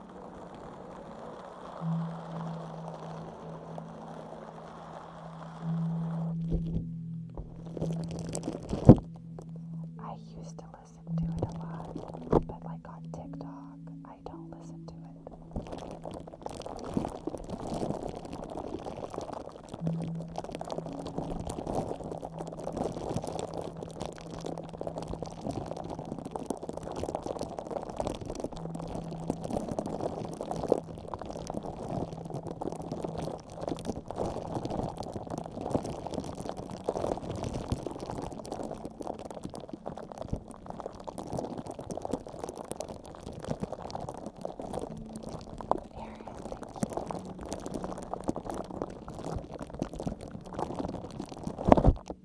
I used to listen to it a lot, but like on TikTok, I don't listen to it. Aaron, thank you.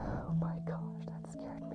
Oh my gosh, that scared me.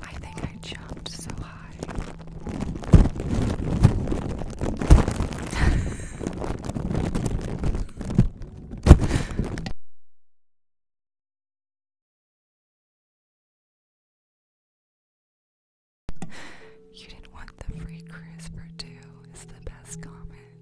I think I jumped so high. You didn't want the free cruise for is the best comment.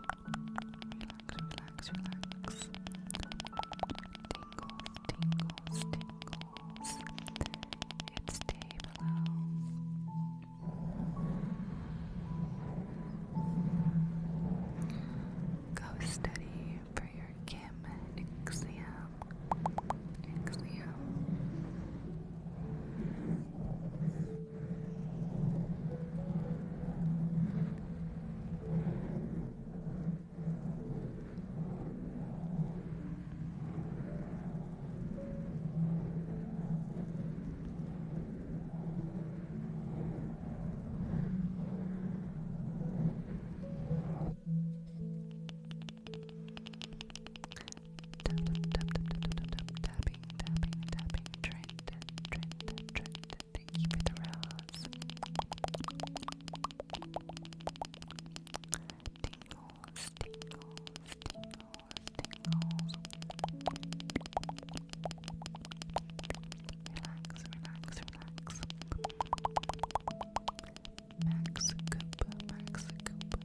relax, relax. Tingles, tingles, tingles. It's day below. Go study for your exam. Exam. Tapping, tapping, tapping, tapping, trying Trent, Trent, thank you for the Tingles, tingles, tingles, tingles. Relax, relax, relax. Max Coop, Max Coop.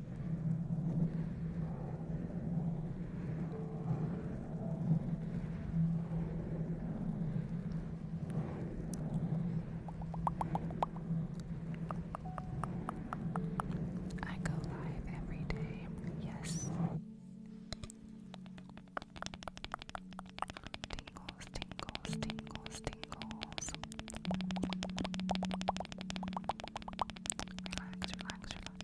I go live every day, yes. Tingles, tingles, tingles, tingles. Relax, relax, relax.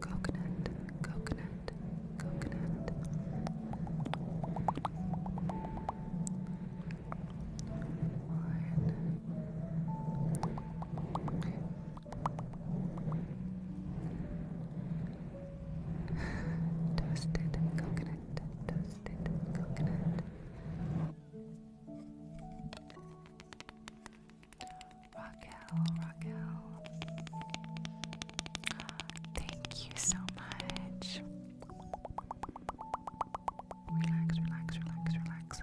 coconut, coconut, coconut. One. coconut, toasted coconut. Raquel, Raquel. Thank you so much. Relax, relax, relax, relax.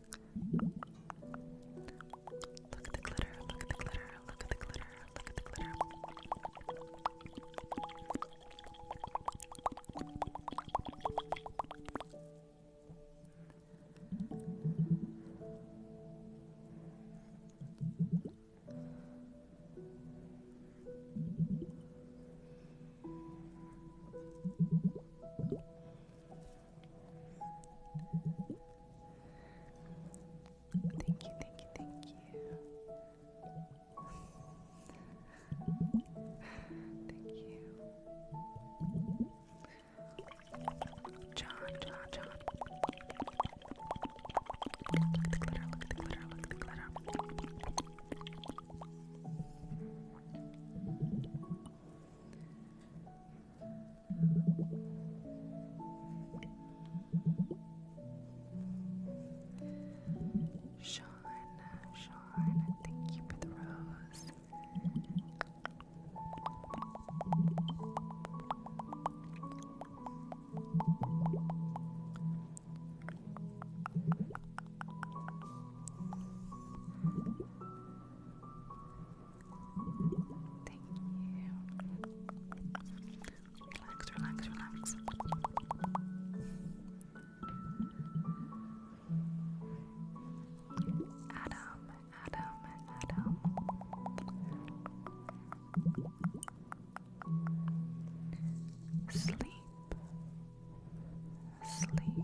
Look at the glitter, look at the glitter, look at the glitter, look at the glitter. Thank you, thank you, thank you. thank you. John, John, John. Look at the glitter, look at the glitter, look at the glitter. Sean, Sean, thank you for the rose. Thank you. Relax, relax, relax. Adam, Adam, Adam. Sleep, sleep, relax.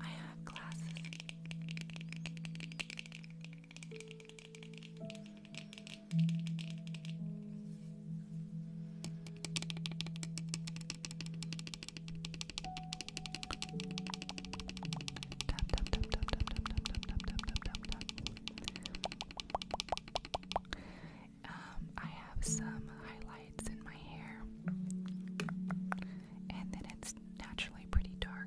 I have glasses. Tap tap tap tap tap tap tap tap tap tap tap tap tap. Um, I have some highlights in my hair, and then it's naturally pretty dark.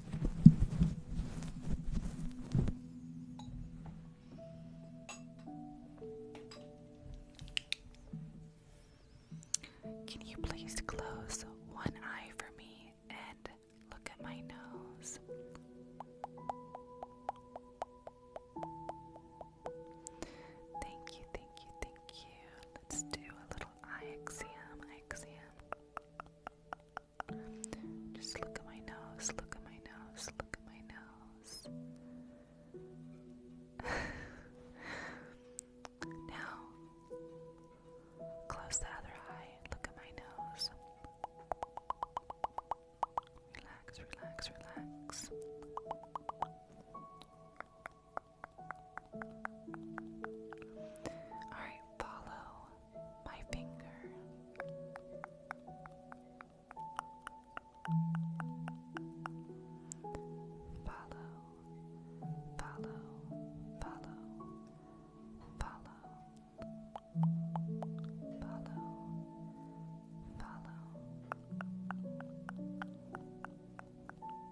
Can you please close one eye for me and look at my nose? Thank you, thank you, thank you. Let's do a little eye exam, eye exam. Just look at my nose, look at my nose, look at my nose. now, close the other eye, look at my nose. Relax, relax, relax. Alright, follow my finger. Follow, follow, follow, follow, follow, follow,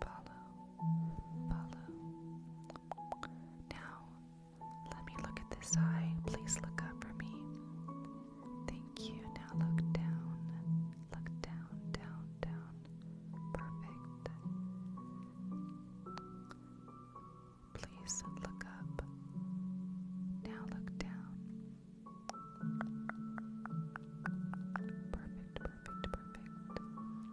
follow, follow, now, let me look at this eye. Please look up for me. Thank you. Now look down. Look down, down, down. Perfect. Please look up. Now look down. Perfect, perfect, perfect.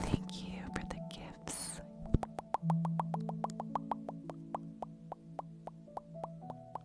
Thank you for the gifts.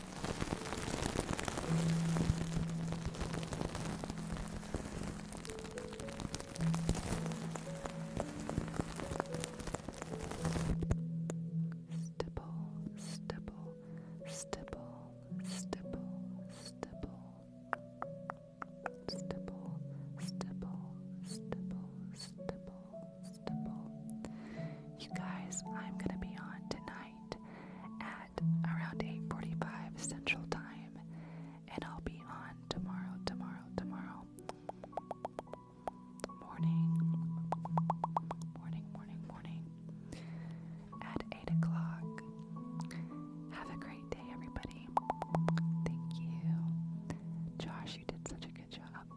Stipple, stipple, stipple, stipple, stipple, stipple, stipple, stipple, stipple, stipple. You guys, I'm gonna be on tonight at around 8:45 Central Time, and I'll be on tomorrow, tomorrow, tomorrow morning, morning, morning, morning at 8 o'clock. Have a great day, everybody. Thank you, Josh. You did such a good job.